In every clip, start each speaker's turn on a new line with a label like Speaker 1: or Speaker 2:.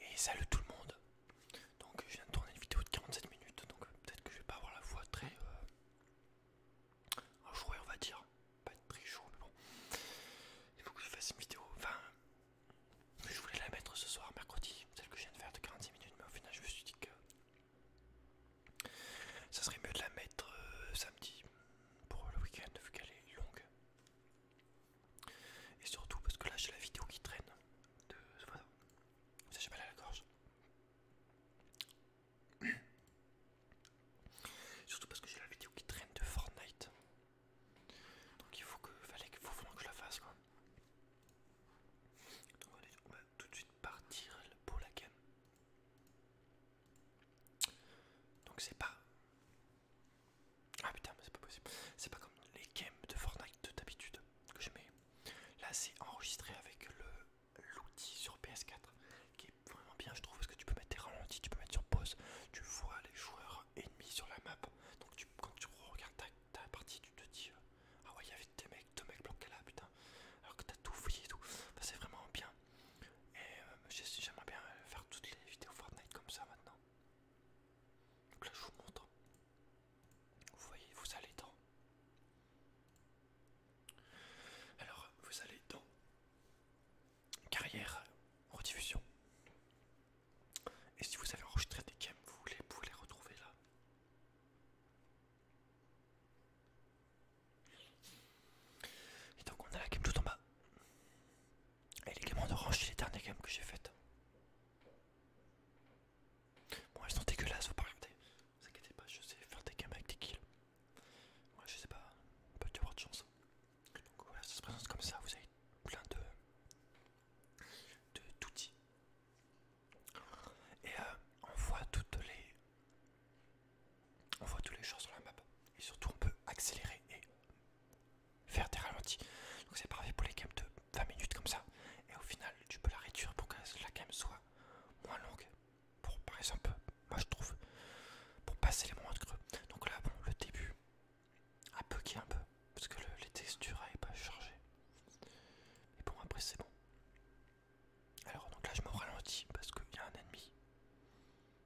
Speaker 1: Et salut tout le monde. Donc je viens de tourner une vidéo de 47 minutes, donc euh, peut-être que je vais pas avoir la voix très euh, enjouée, on va dire, pas très chaud mais bon. Il faut que je fasse une vidéo. Enfin, je voulais la mettre ce soir, mercredi, celle que je viens de faire de 46 minutes, mais au final je me suis dit que ça serait mieux de la mettre euh, samedi pour le week-end vu qu'elle est longue. Et surtout parce que là j'ai la vidéo qui traîne de Vous savez j'ai mal à la gorge. surtout parce que j'ai la vidéo qui traîne de Fortnite. Donc il faut que fallait faut vraiment que je la fasse quoi. Donc on va tout de suite partir pour la game. Donc c'est pas ah putain, mais c'est pas possible. C'est pas comme les games de Fortnite de d'habitude que je mets. Là, c'est enregistré avec le l'outil sur PS4 qui est vraiment bien, je trouve, parce que tu peux mettre tes ralentis, tu peux mettre sur pause, tu vois les joueurs ennemis sur la map. Donc quand tu regardes ta, partie, tu te dis euh, ah ouais, il y avait des mecs, deux mecs blancs là, putain. Alors que t'as tout fouillé et tout. c'est vraiment bien. Et euh, j'aimerais bien faire toutes les vidéos Fortnite comme ça maintenant. Donc là, je vous montre. Vous voyez, vous allez dans. Alors, vous allez dans carrière, rediffusion. Et si vous avez enregistré des games, vous voulez, les retrouver là. Et donc on a la game tout en bas. Et les games de orange, c'est les dernières games que j'ai faites. Bon, elles sont dégueulasses, faut pas regarder. Ne vous inquiétez pas, je sais faire des games avec des kills. Moi, je sais pas, peut peut avoir de chance. Donc voilà, ça se présente comme ça, vous avez plein de d'outils. Et euh, on voit toutes les... On voit tous les choses sur la map. Et surtout, on peut accélérer et faire des ralentis. Donc c'est parfait pour les games de 20 minutes comme ça. Et au final, tu peux la réduire pour que la cam soit moins longue. Pour par exemple, moi je trouve, pour passer les moments de creux. Donc là, bon, le début a bugué un peu parce que les textures n'avaient pas chargé. Et bon, après c'est bon. Alors donc là, je me ralentis parce qu'il y a un ennemi.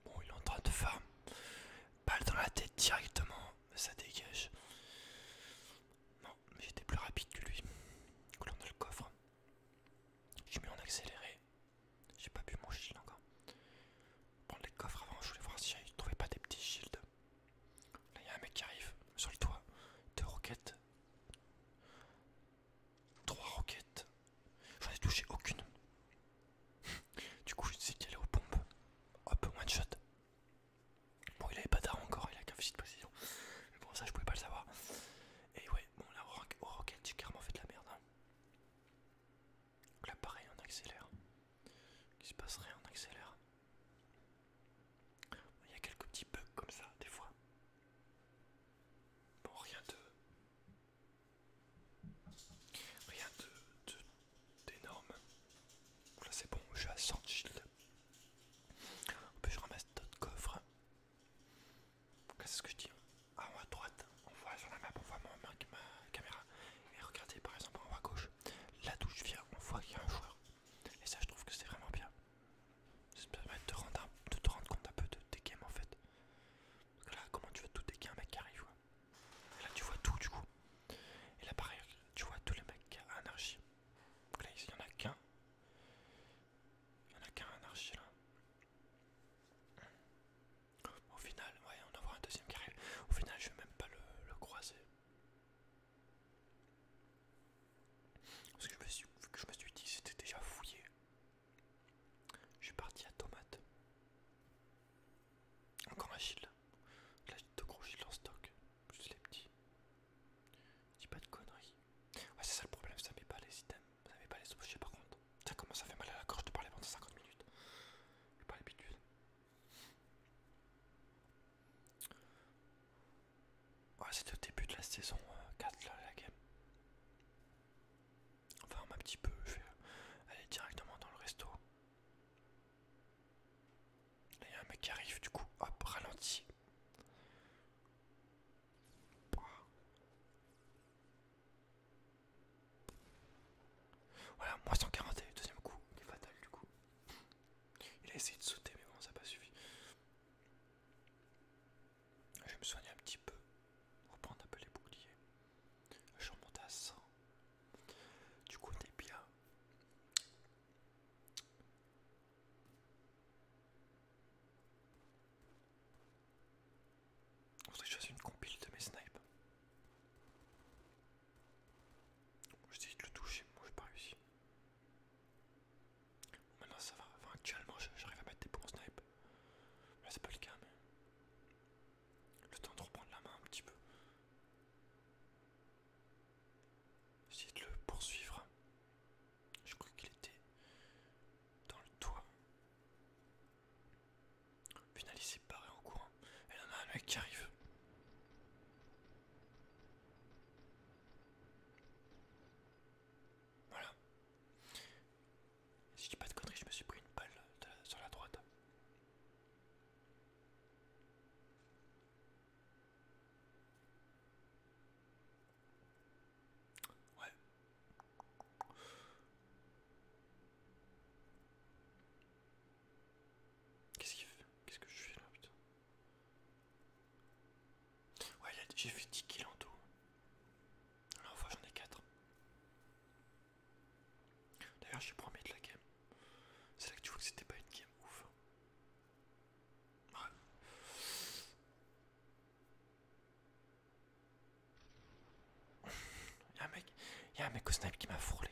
Speaker 1: Bon, il est en train de faire Balle dans la tête directement, ça dégage. Non, mais j'étais plus rapide que lui. Coulant a le coffre. Je mets en accéléré. J'ai pas bu mon shield encore. Prendre les coffres avant, je voulais voir si je trouvais pas des petits shields. Là, y'a un mec qui arrive sur le toit. Deux roquettes. Trois roquettes. J'en ai touché aucune. du coup, je sais qu'il est aux pompes. Hop, one shot. Bon, il avait pas d'armes encore, il a qu'un fichier de précision. Mais bon, ça je pouvais pas le savoir. Et ouais, bon, là au, Rocket, j'ai carrément fait de la merde. Donc hein. là, pareil, on accélère. Qu'il se passe rien, on accélère. Il y a quelques petits bugs comme ça, des fois. Bon, rien de. Rien de, d'énorme. Là c'est bon, je suis à 100 shield. En plus je ramasse d'autres coffres. quest c'est ce que je dis En hein? haut ah, à droite, on voit sur la map, on voit ma, marque ma caméra. Et regardez par exemple en haut à gauche, là d'où je viens, on voit qu'il y a un joueur. Et ça je trouve que c'est vraiment bien. Ça permet de te rendre, rendre compte un peu de tes games en fait. Parce là comment tu veux tout dégager un mec qui arrive là tu vois tout du coup. Et là pareil, tu vois tous les mecs à anarchie. Donc là il y en a qu'un. Il n'y en a qu'un anarchie là. Au final, ouais, on va voir un deuxième carré. Au final, je vais même pas le, croiser. Parce que je me suis, que je me suis dit c'était déjà fouillé. Je suis parti à tomate. Encore un shield. Là deux gros shields en stock, plus les petits. Dis pas de conneries. Ouais c'est ça le problème, ça met pas les items, ça met pas les objets par contre. Ça commence à faire mal à la gorge de parler pendant 50 minutes. J'ai pas l'habitude. Ouais c'est au début de la saison 4 euh, de la game. Enfin un petit peu, je vais aller directement dans le resto il y a un mec qui arrive, du coup, hop, ralenti. Voilà, moins le deuxième coup, il est fatal du coup. Il a essayé de sauter, mais bon, ça n'a pas suffi. Je vais me soigner un petit peu, prendre un peu les boucliers. Je remonte à 100. Du coup, on est bien. On choisi que je fasse une compile de mes snipes. essayé de le toucher, moi j'ai pas réussi. Maintenant ça va, actuellement j'arrive à mettre des bons snipes. Là c'est pas le cas mais. Le temps de reprendre la main un petit peu. J'essayais de le poursuivre. Je crois qu'il était dans le toit. Au final, il s'est barré en courant. Et là, on a un mec qui arrive. Voilà. Si je pas de conneries, je me suis pris une balle sur la droite. Ouais. Qu'est-ce qu'il fait Qu'est-ce que je fais là, putain Ouais, j'ai fait 10 kills en tout. Alors, enfin, j'en ai 4. D'ailleurs, je suis premier de la game. C'est là que tu vois que c'était pas une game ouf. Hein. Ouais. Y'a un mec, y'a un mec au snipe qui m'a frôlé.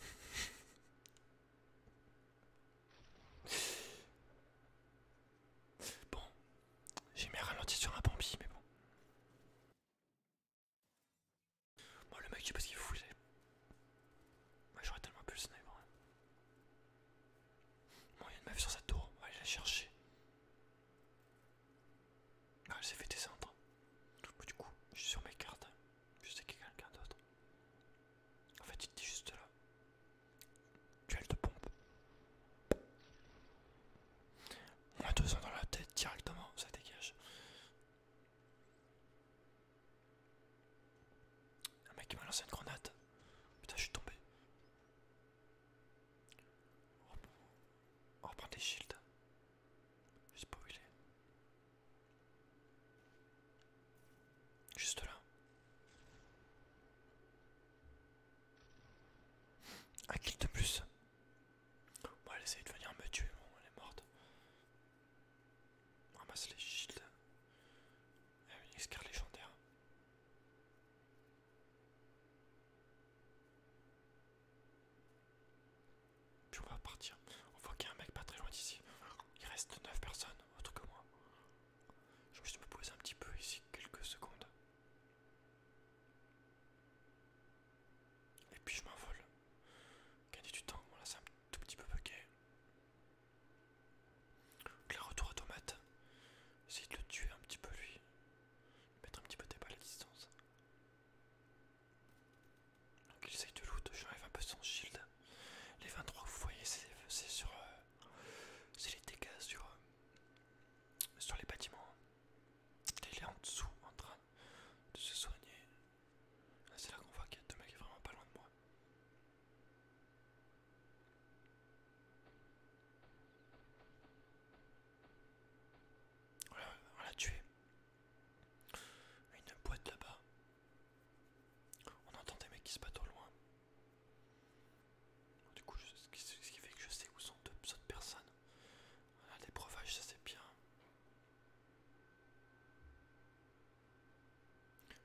Speaker 1: bon, j'ai mis ralenti sur un Bambi, mais bon. Moi, le mec, je sais pas ce qu'il fout, Moi, j'aurais tellement pu le sniper. Hein. il y a une meuf sur sa tour. On va aller la chercher. Ah, elle s'est fait descendre. Bah, du coup, je suis sur mes cartes. Hein. Je sais qu'il y a quelqu'un d'autre. En fait, il était juste là. Duel de pompe. On a deux ans dans la tête directement, ça dégage. Un mec qui m'a lancé une grenade. Putain, je suis tombé. On reprend des shields. Je sais pas où Juste là. Un kill de plus. Bon, elle essaye de venir me tuer, elle est morte. On ramasse les shields. a une escarre légendaire. Puis on va partir. On voit qu'il y a un mec pas très loin d'ici. Il reste 9 personnes, autre que moi. Je vais juste me poser un petit peu ici quelques secondes. Et puis je m'envole. Gagner du temps, là c'est un tout petit peu bugué. Donc là retour automate. de le tuer un petit peu lui. Mettre un petit peu de balles à distance. Donc il essaye de loot, j'enlève un peu son shield. Les 23 vous voyez c'est sur euh, c'est les dégâts sur, euh, sur les bâtiments. Il est en dessous en train de se soigner. Ah, c'est là qu'on voit qu'il y a deux mecs vraiment pas loin de moi. on l'a tué. Une boîte là-bas. On entend des mecs qui se battent au loin. Du coup, ce qui fait que je sais où sont deux autres personnes des ah, les breuvages, ça c'est bien.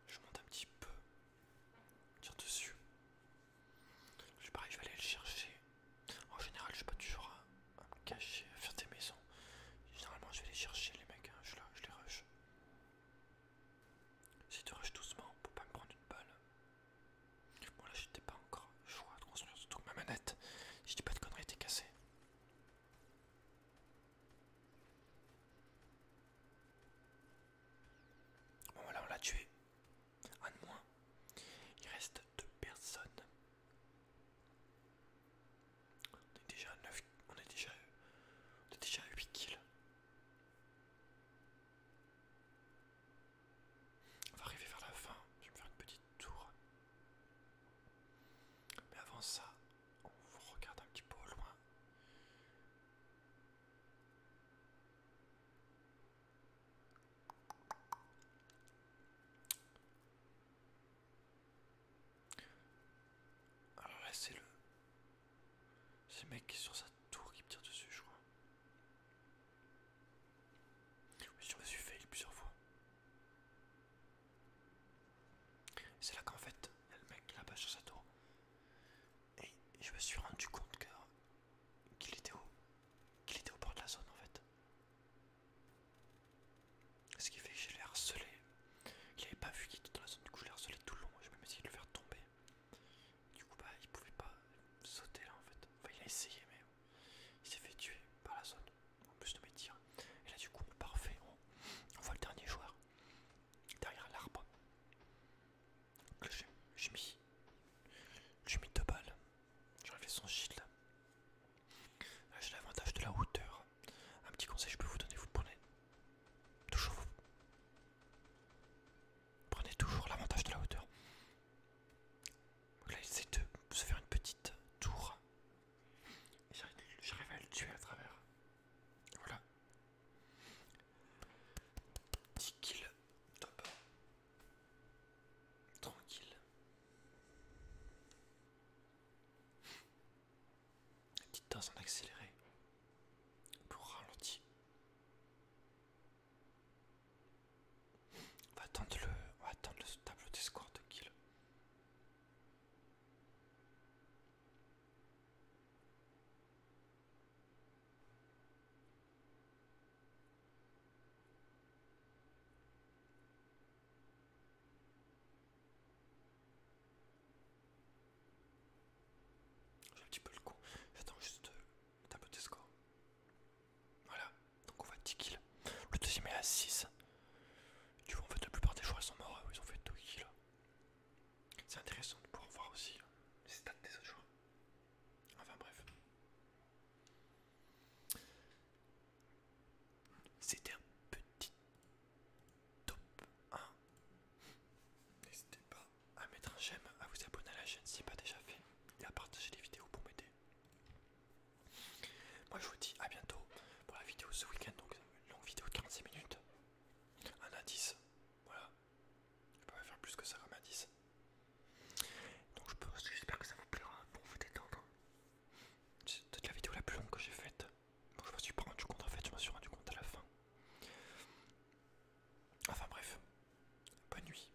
Speaker 1: Je monte un petit peu. Tire dessus. Je pareil, je vais aller le chercher. En général, je suis pas toujours à, me cacher, à faire des maisons. Généralement, je vais les chercher, les mecs. Hein. Je, je les rush. Si tu rushes doucement pour pas me prendre une balle. Bon là j'étais pas encore choix de construire, surtout ma manette, je dis pas de conneries, était cassée. Bon voilà, on l'a tué. Un de moins. Il reste deux personnes. On est déjà On est déjà, on est déjà à 8 kills. On va arriver vers la fin, je vais me faire une petite tour. Mais avant ça, on regarde un petit peu au loin. Alors là c'est le... C'est le mec qui est sur sa tour qui me tire dessus je crois je me suis fait plusieurs fois. C'est là qu'en fait, le mec là-bas sur sa tour. Et je me suis rendu compte qu'il était était, qu'il était au bord de la zone en fait. Ce qui fait que je l'ai harcelé. Il avait pas vu qu'il était dans la zone, du coup je l'ai harcelé tout le long. Je même essayé de le faire tomber. Du coup, bah, il pouvait pas sauter là en fait. Enfin, il a essayé, mais il s'est fait tuer par la zone, en plus de mes tirs. Et là, du coup, parfait, on, voit le dernier joueur derrière l'arbre. J'ai mis, mis deux balles. J'ai enlevé son shield. Là, j'ai l'avantage de la hauteur. Un petit conseil, je peux vous donner vous prenez toujours vous. Prenez toujours l'avantage de la hauteur là, il essaie de se faire une petite tour. Et j'arrive à le tuer à travers. Voilà. 10 kills. Top. Tranquille. 10 doses en accéléré. Pour ralentir. On va attendre le, tableau de attendre de kill. J'ai un petit peu le coup J'attends juste le tableau score voilà, donc on voit 10 kills. Le deuxième est à 6. Tu vois, en fait, la plupart des joueurs sont morts, hein. ils ont fait 2 kills. C'est intéressant de pouvoir voir aussi hein, les stats des autres joueurs. Enfin bref. C'était un petit top 1. N'hésitez pas à mettre un j'aime, à vous abonner à la chaîne si ce n'est pas déjà fait et à partager les vidéos pour m'aider. Moi je vous dis à bientôt pour la vidéo ce week-end, donc une longue vidéo de 46 minutes. Un indice, voilà. Je peux pas faire plus que ça comme indice. Donc j'espère que ça vous plaira pour vous détendre. C'est peut-être la vidéo la plus longue que j'ai faite. donc je me suis pas rendu compte en fait, je m'en suis rendu compte à la fin. Enfin bref, bonne nuit.